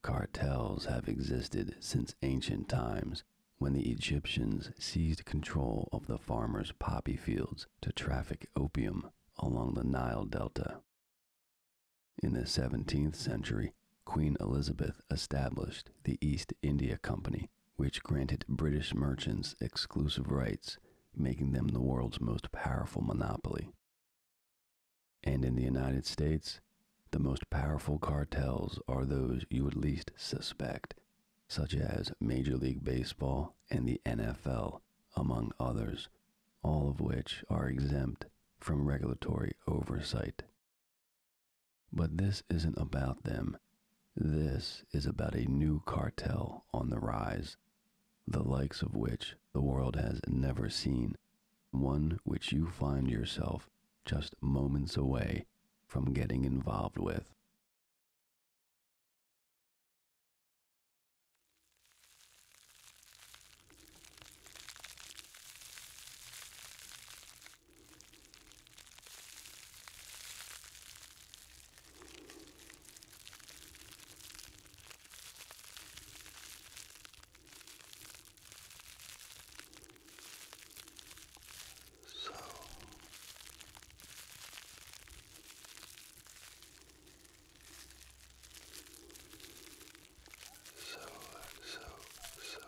Cartels have existed since ancient times when the Egyptians seized control of the farmers' poppy fields to traffic opium along the Nile Delta. In the 17th century, Queen Elizabeth established the East India Company, which granted British merchants exclusive rights, making them the world's most powerful monopoly. And in the United States, the most powerful cartels are those you would least suspect, such as Major League Baseball and the NFL, among others, all of which are exempt from regulatory oversight. But this isn't about them. This is about a new cartel on the rise, the likes of which the world has never seen one which you find yourself just moments away from getting involved with. So so so so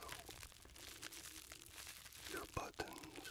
your buttons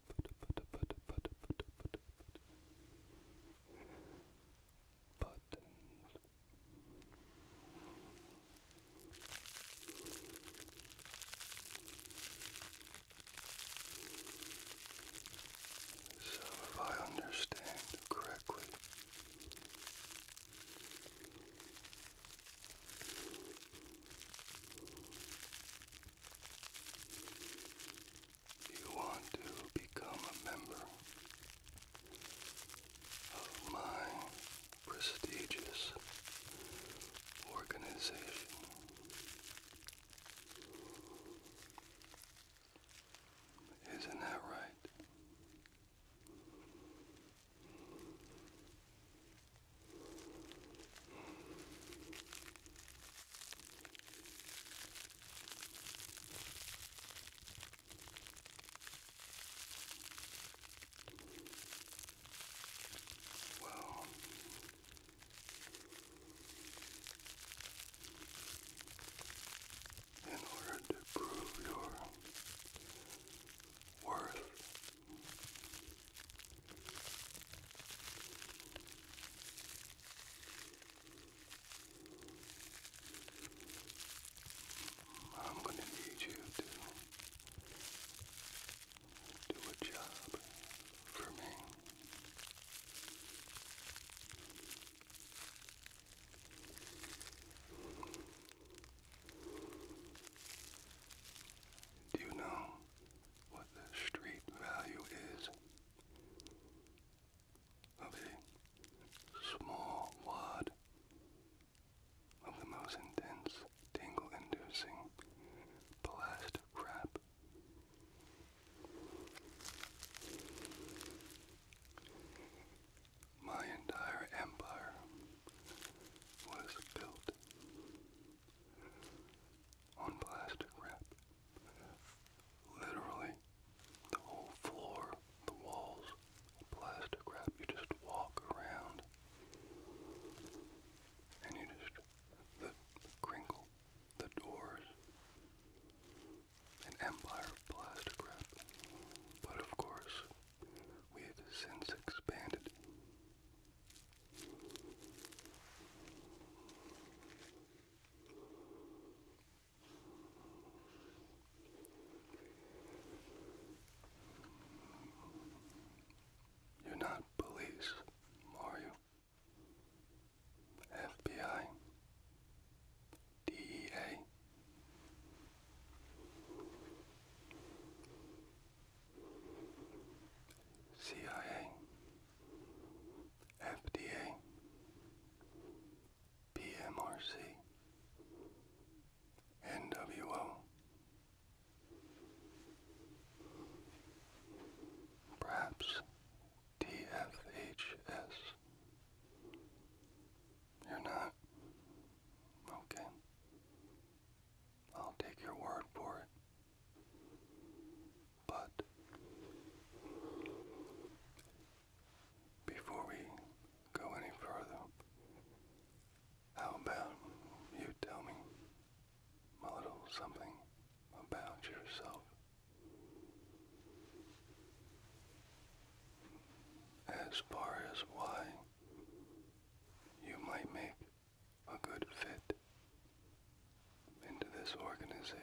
so, if I understand correctly, you want to become a member of my prestigious organization, isn't that right? Wow. In order to prove your worth, I'm going to need you to do a job for me. Do you know what the street value is of a small word of the most intense tingle-inducing plastic wrap. My entire empire was built on plastic wrap. Literally, the whole floor, the walls, plastic wrap. You just walk around and you just the crinkle, the doors, an empire of plastic wrap. But of course, we have since expanded. You're not police, are you? FBI? DEA? CIA? FDA, PMRC, NWO, perhaps TFHS. You're not? Okay. I'll take your word for but before we go any further, how about you tell me a little something about yourself? As far as why you might make a good fit into this organization.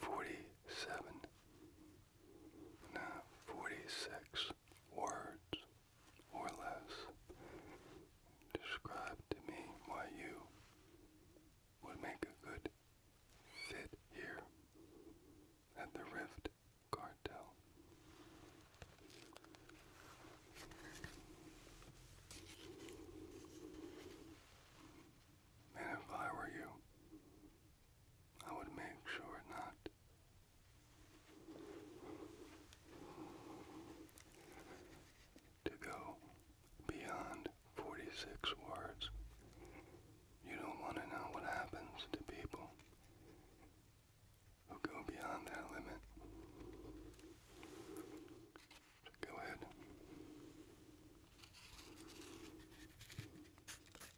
47, no, 46 words or less. Describe to me why you would make a good fit here at the Rift Cartel. And if I were you, I would make sure not to go beyond 46 words. You don't want to know what happens to people who go beyond that limit. go ahead.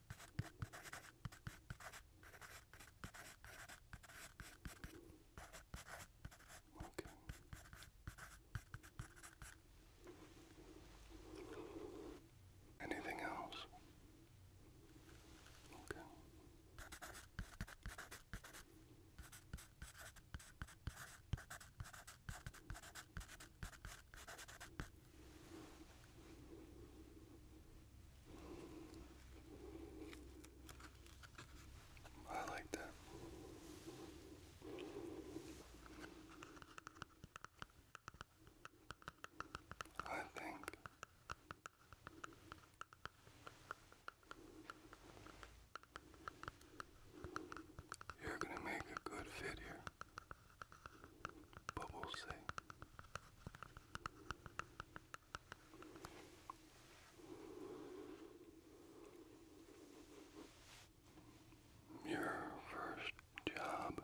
Okay. Anything else? Okay. I like that. I think you're going to make a good fit here. But we'll see. Your first job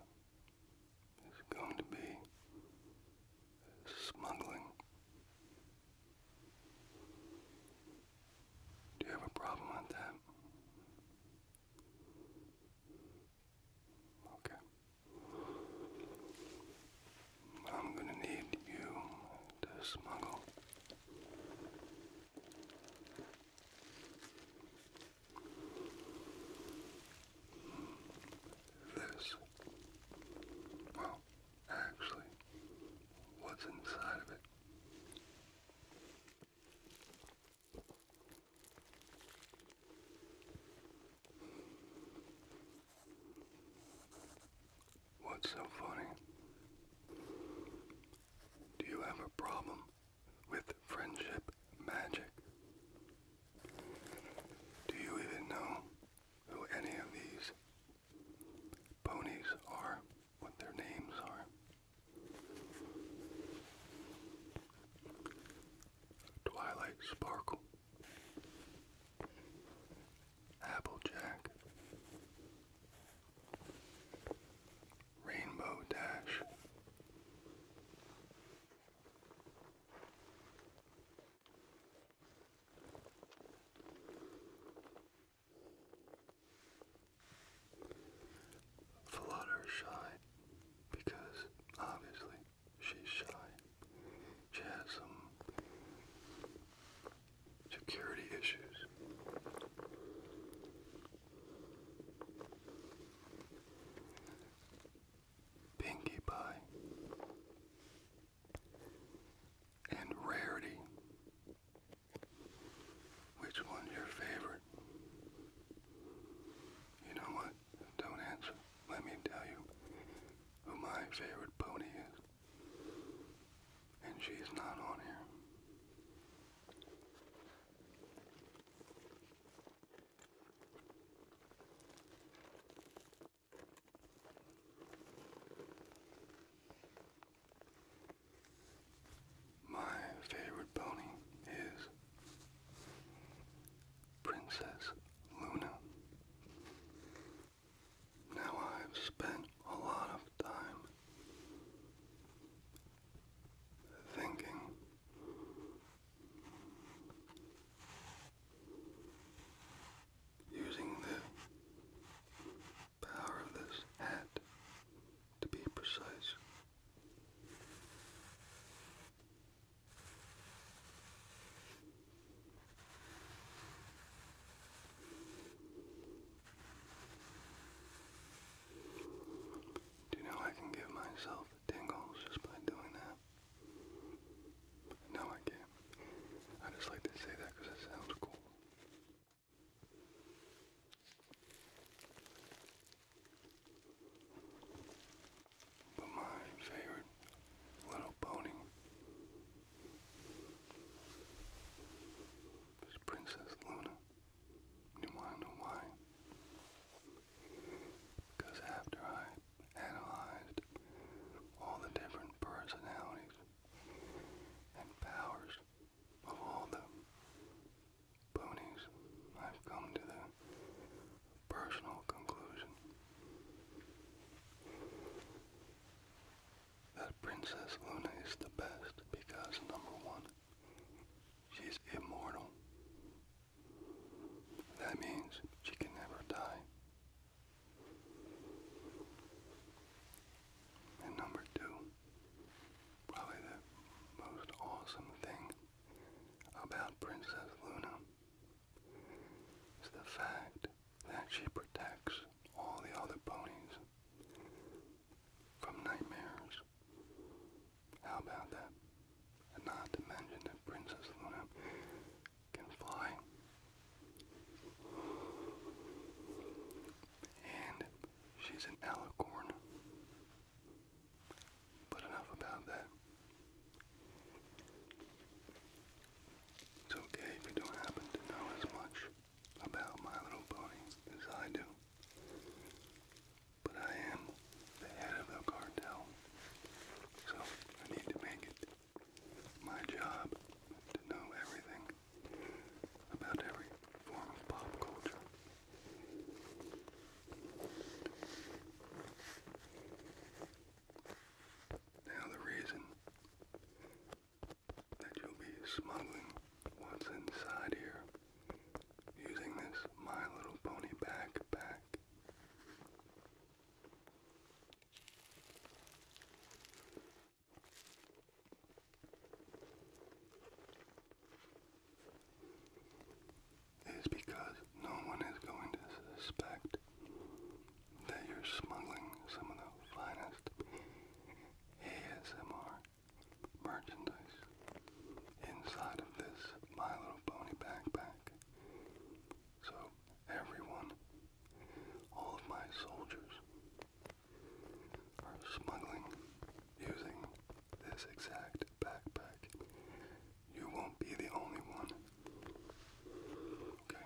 is going to be smuggling. Do you have a problem with that? Okay. I'm going to need you to smuggle this. Well, actually, what's inside of it? What's so funny? Do you have a problem with friendship magic? Do you even know who any of these ponies are? What their names are? Twilight Sparkle, Applejack, Rainbow Dash, Fluttershy, because obviously She's shy. She has some security issues. Pinkie Pie and Rarity. Which one's your favorite? You know what? don't answer. Let me tell you who my favorite pony is. And she's not on here. My favorite pony is Princess Luna. Now I've spent a lot of time thinking using the power of this hat to be precise. Do you know I can give myself tingles just by doing that? No, I can't. I just like to say that because it sounds cool. But my favorite little pony is Princess Luna. You wanna know why? Because after I analyzed all the different personalities and powers of all the ponies, I've come to the personal conclusion that Princess Luna is the best because, number one, she's immortal. That means she can never die. And number two, probably the most awesome thing about Princess Luna is the fact that she protects all the other ponies from nightmares. How about that? And not to mention that Princess Luna can fly. And she's an alicorn. But enough about that. It's okay if you don't happen to know as much about My Little Pony as I do. But I am the head of the cartel, so I need to make it my job to know everything about every form of pop culture. Now, the reason that you'll be smuggling what's inside here using this My Little Pony backpack is because no one is going to suspect that you're smuggling some of the finest ASMR merchandise inside of this My Little Pony backpack. So everyone, all of my soldiers, are smuggling using this exact backpack you won't be the only one. Okay?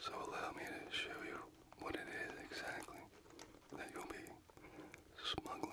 So allow me to show you what it is exactly that you'll be smuggling.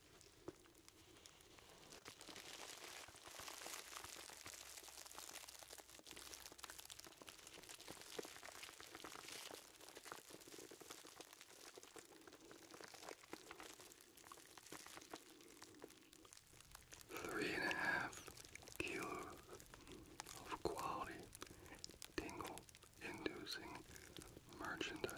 Three and a half kilos of quality tingle inducing merchandise.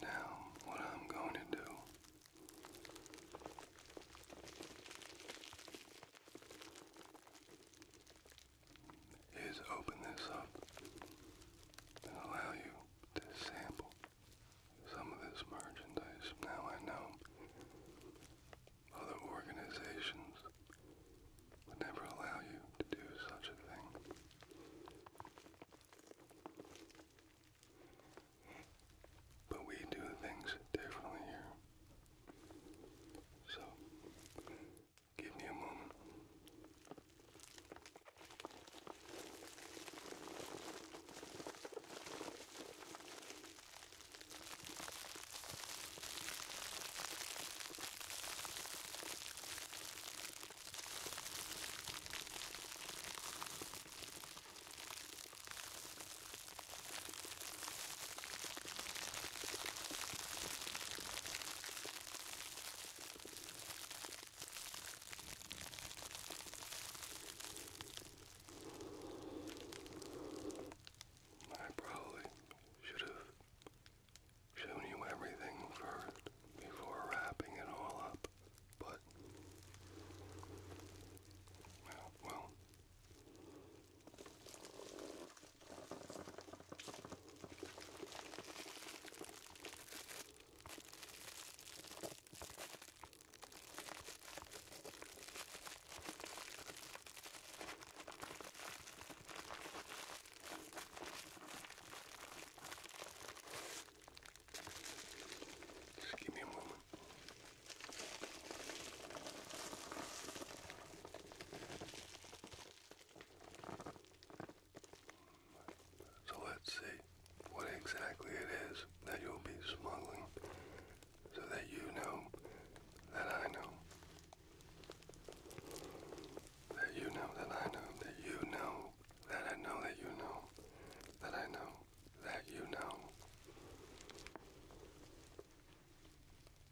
Now, what I'm going to do is open this up and allow you to sample some of this merchandise. Now I know other organizations would never allow you to do such a thing. But we do things differently here. So, give me a moment. I probably should have Showing you everything first before wrapping it all up, but well. Just give me a moment. So let's see what exactly it is that you'll be smuggling so that you know that I know that you know that I know that you know that I know that you know that I know that you know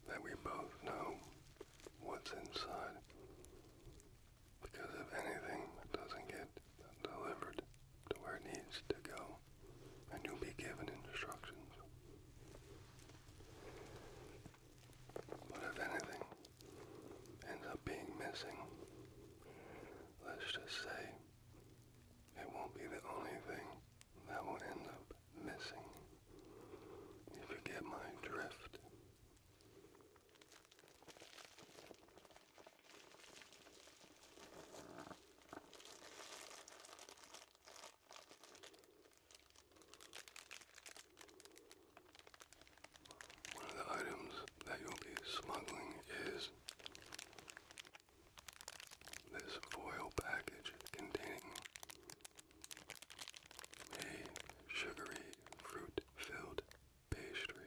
that we both know what's inside because if anything doesn't get delivered to where it needs to go, and you'll be given instructions. But if anything ends up being missing, let's just say it won't be the only thing that will end up missing. If you get my drift. One of the items that you'll be smuggling is this foil package containing a sugary fruit filled pastry.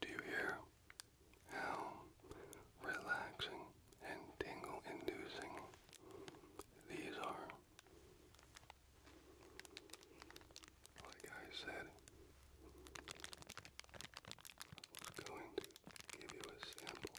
Do you hear how relaxing and tingle inducing these are? like I said, I was going to give you a sample.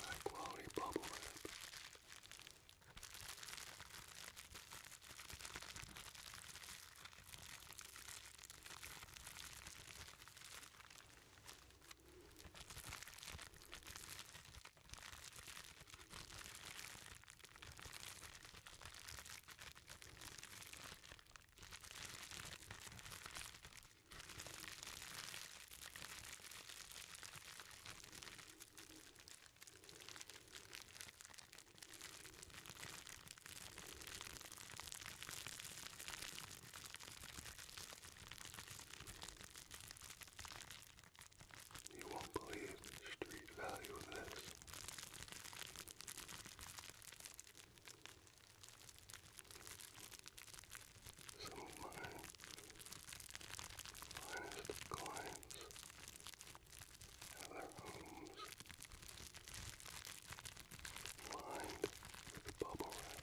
High quality bubble wrap. You won't believe the street value of this some of my finest clients have their homes lined with bubble wrap.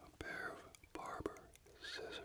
A pair of barber scissors.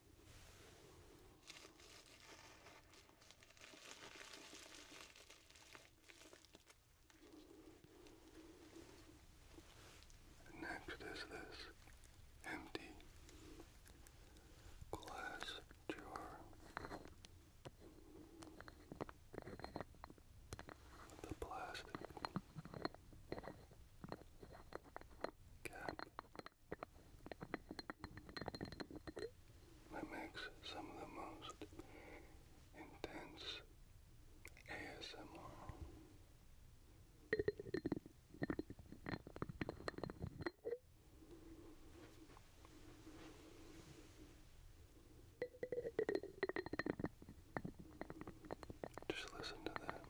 Next is this empty glass jar with the plastic cap that makes some of the most intense ASMR. Just listen to that.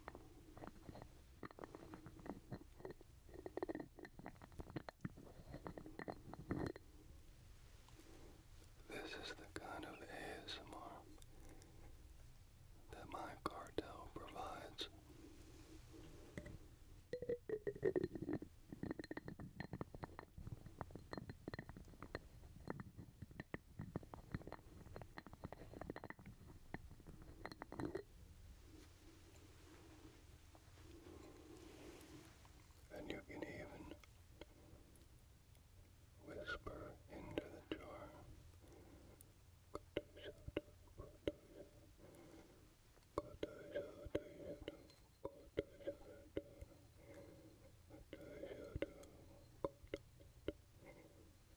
This is the kind of ASMR that my cartel provides. And you can even whisper into the jar.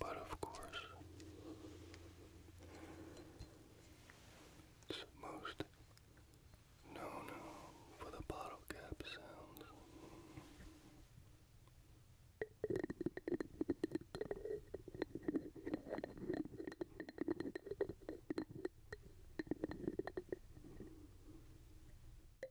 But of course, it's most known for the bottle cap sounds.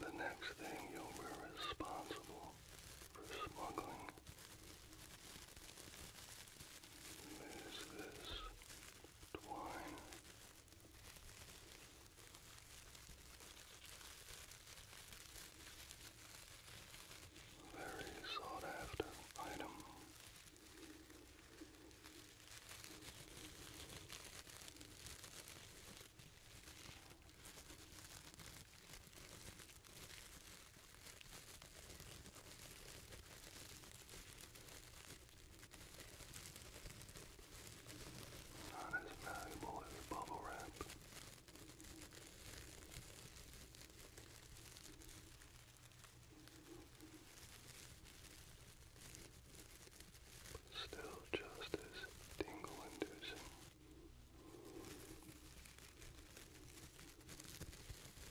The next thing you'll be responsible for smuggling there's this twine. Very sought after item. Not as valuable as bubble wrap. But still just as tingle inducing.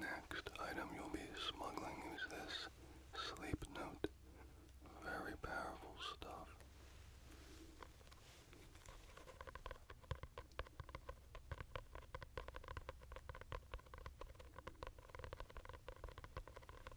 next item you'll be smuggling is this sleep note. Very powerful stuff.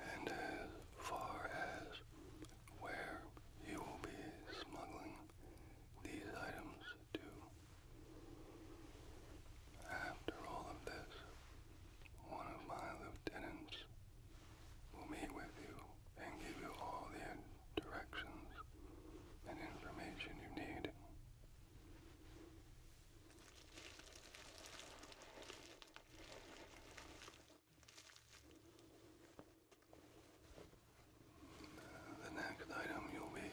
And as far as where you will be smuggling these items do. After all of this, one of my lieutenants will meet with you and give you all the directions and information you need. The next item you'll be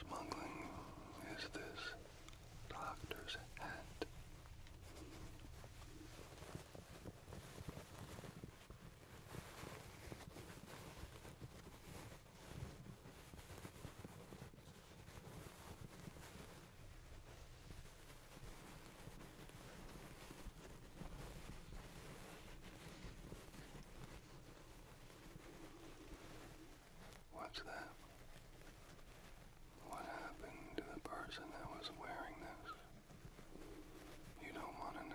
smuggling is this doctor's hat. What's that? What happened to the person that was wearing this? You don't want to know.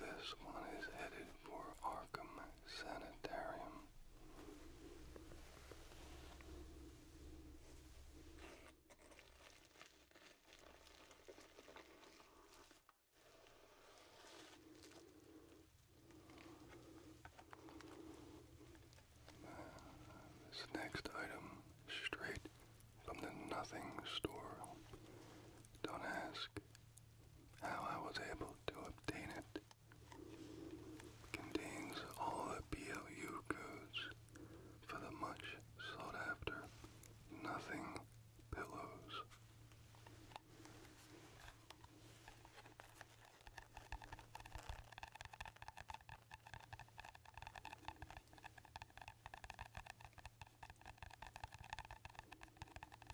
This one is headed for Arkham Sanitarium. this next item, straight from the nothing store. Don't ask, how I was able to obtain it. Contains all the BLU codes for the much sought after nothing pillows.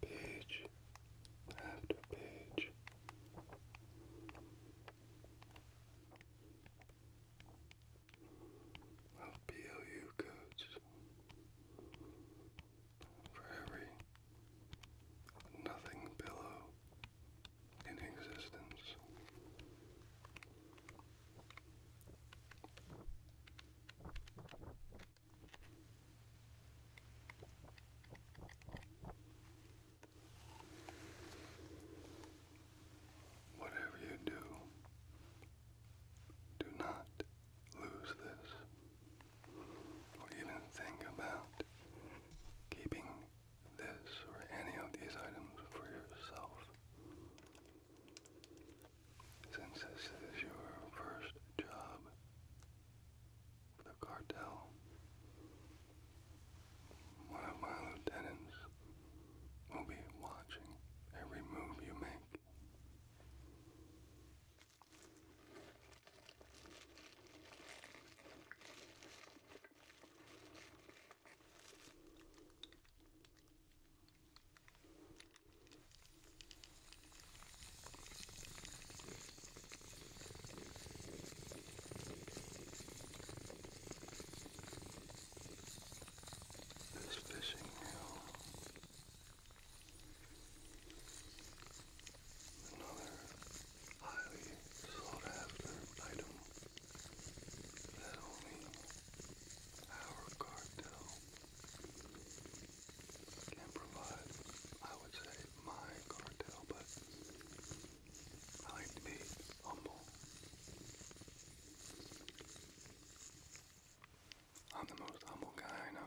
Page after page of PLU codes for every nothing pillow in existence. Whatever you do, do not lose this, or even think about keeping this or any of these items for yourself. Since this is your first job the cartel, one of my lieutenants will be watching every move you make this fishing reel. Another highly sought after item that only our cartel can provide. I would say my cartel, but I like to be humble. I'm the most humble guy I know.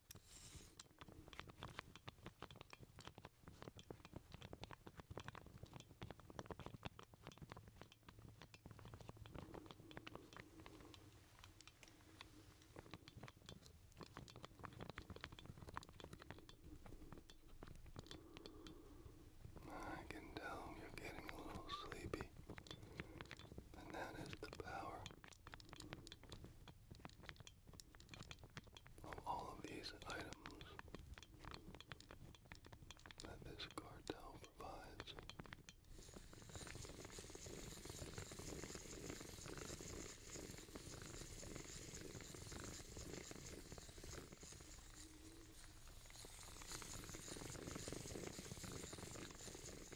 I can tell you're getting a little sleepy, and that is the power of all of these items that this cartel provides.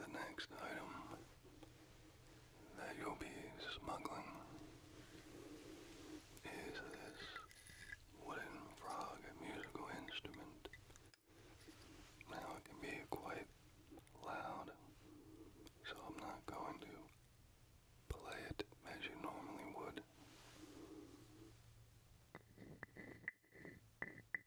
the next item that you'll be smuggling is this wooden frog musical instrument. Now it can be quite loud, so I'm not going to play it as you normally would.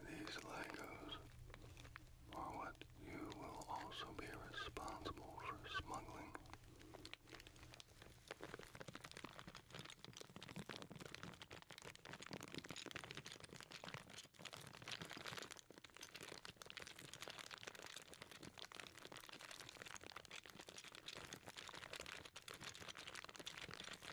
These Legos are what you will also be responsible for smuggling.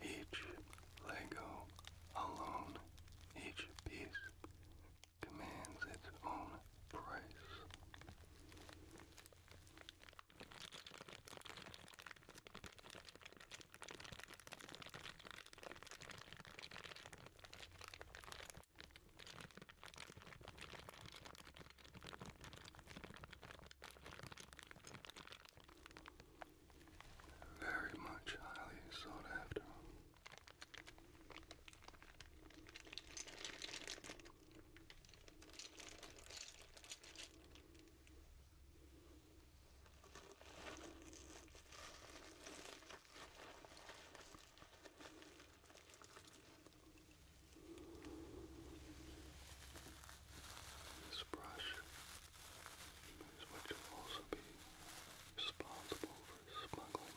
Each Lego alone, each piece commands its own price. Very much highly sought after. This brush is what will also be responsible for smuggling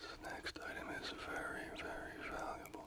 This next item is very, very valuable.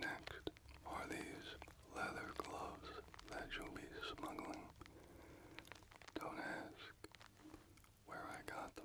Next are these leather gloves that you'll be smuggling. Don't ask where I got them.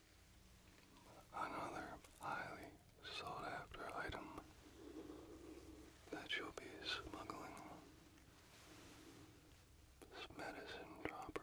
Another highly sought after item that you'll be smuggling. This medicine dropper.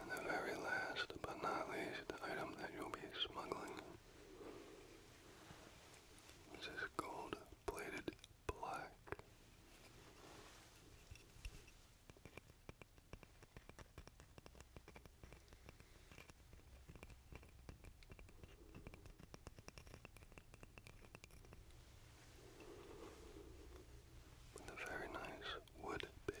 And the very last but not least item that you'll be smuggling this is gold plated black. With a very nice wood base.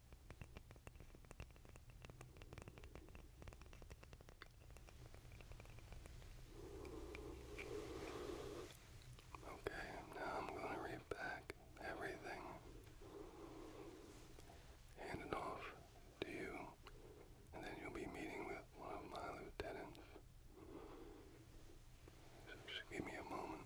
Okay, now I'm going to read back everything. Hand it off to you, and then you'll be meeting with one of my lieutenants. So just give me a moment.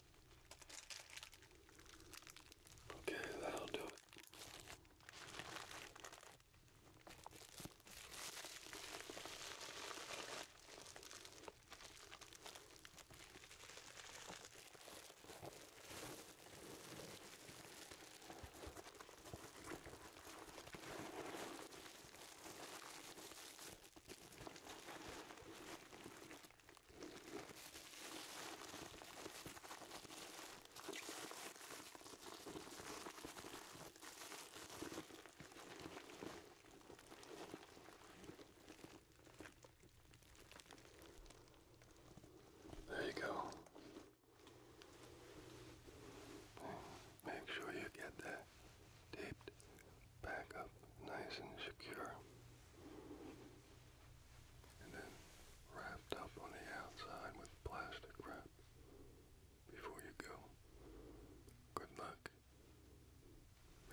Okay, that'll do it. There you go. Make sure you get that taped back up nice and secure and then wrapped up on the outside with plastic wrap before you go. Good luck.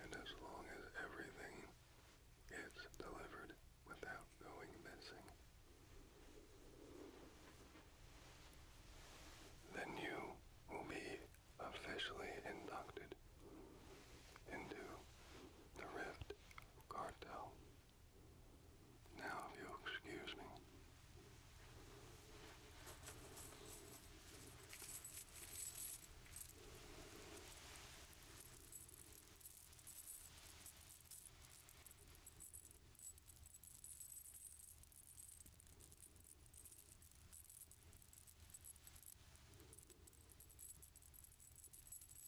And as long as everything gets delivered without going missing, then you will be officially inducted into the Rift Cartel. Now, if you'll excuse me.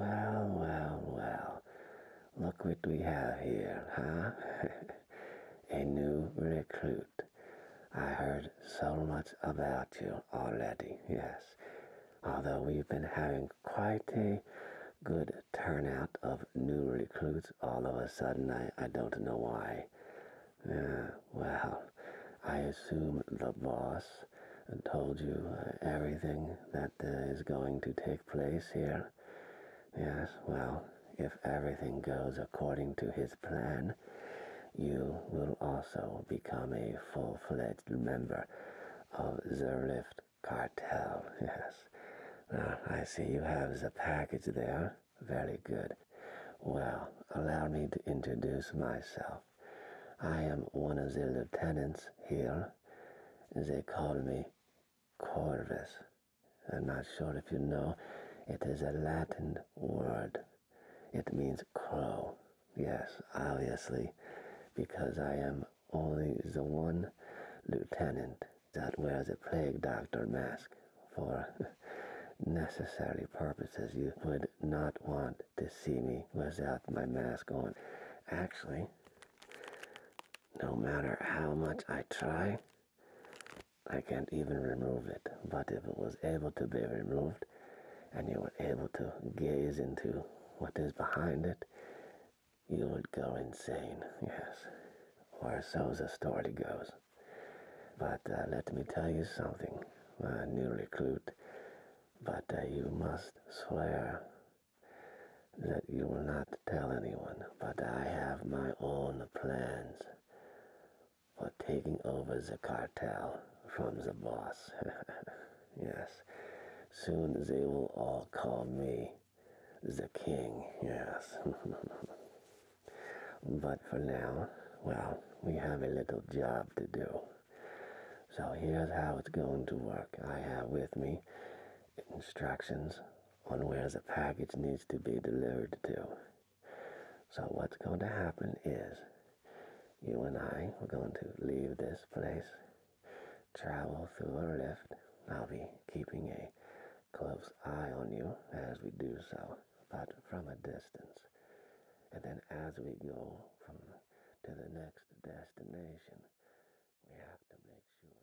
Well, well, well. Look what we have here, huh? a new recruit. I heard so much about you already, yes. Although we've been having quite a good turnout of new recruits all of a sudden, I, I don't know why. Uh, well, I assume the boss told you uh, everything that uh, is going to take place here. Yes, well, if everything goes according to his plan, you will also become a full fledged member of the Zerlift Cartel. Yes. Now, I see you have the package there. Very good. Well, allow me to introduce myself. I am one of the lieutenants here. They call me Corvus. I'm not sure if you know, it is a Latin word. It means crow. Yes, obviously, because I am only the one lieutenant that wears a plague doctor mask. For necessary purposes, you would not want to see me without my mask on. Actually, no matter how much I try, I can't even remove it. But if it was able to be removed and you were able to gaze into what is behind it, you would go insane, yes. Or so the story goes. But uh, let me tell you something, uh, new recruit. But uh, you must swear that you will not tell anyone, but I have my own plans for taking over the cartel from the boss. yes, soon they will all call me the king, yes. but for now, well, we have a little job to do. So here's how it's going to work. I have with me instructions on where the package needs to be delivered to. So what's going to happen is you and I are going to leave this place, travel through a lift. I'll be keeping a close eye on you as we do so, but from a distance. And then as we go from to the next destination, we have to make sure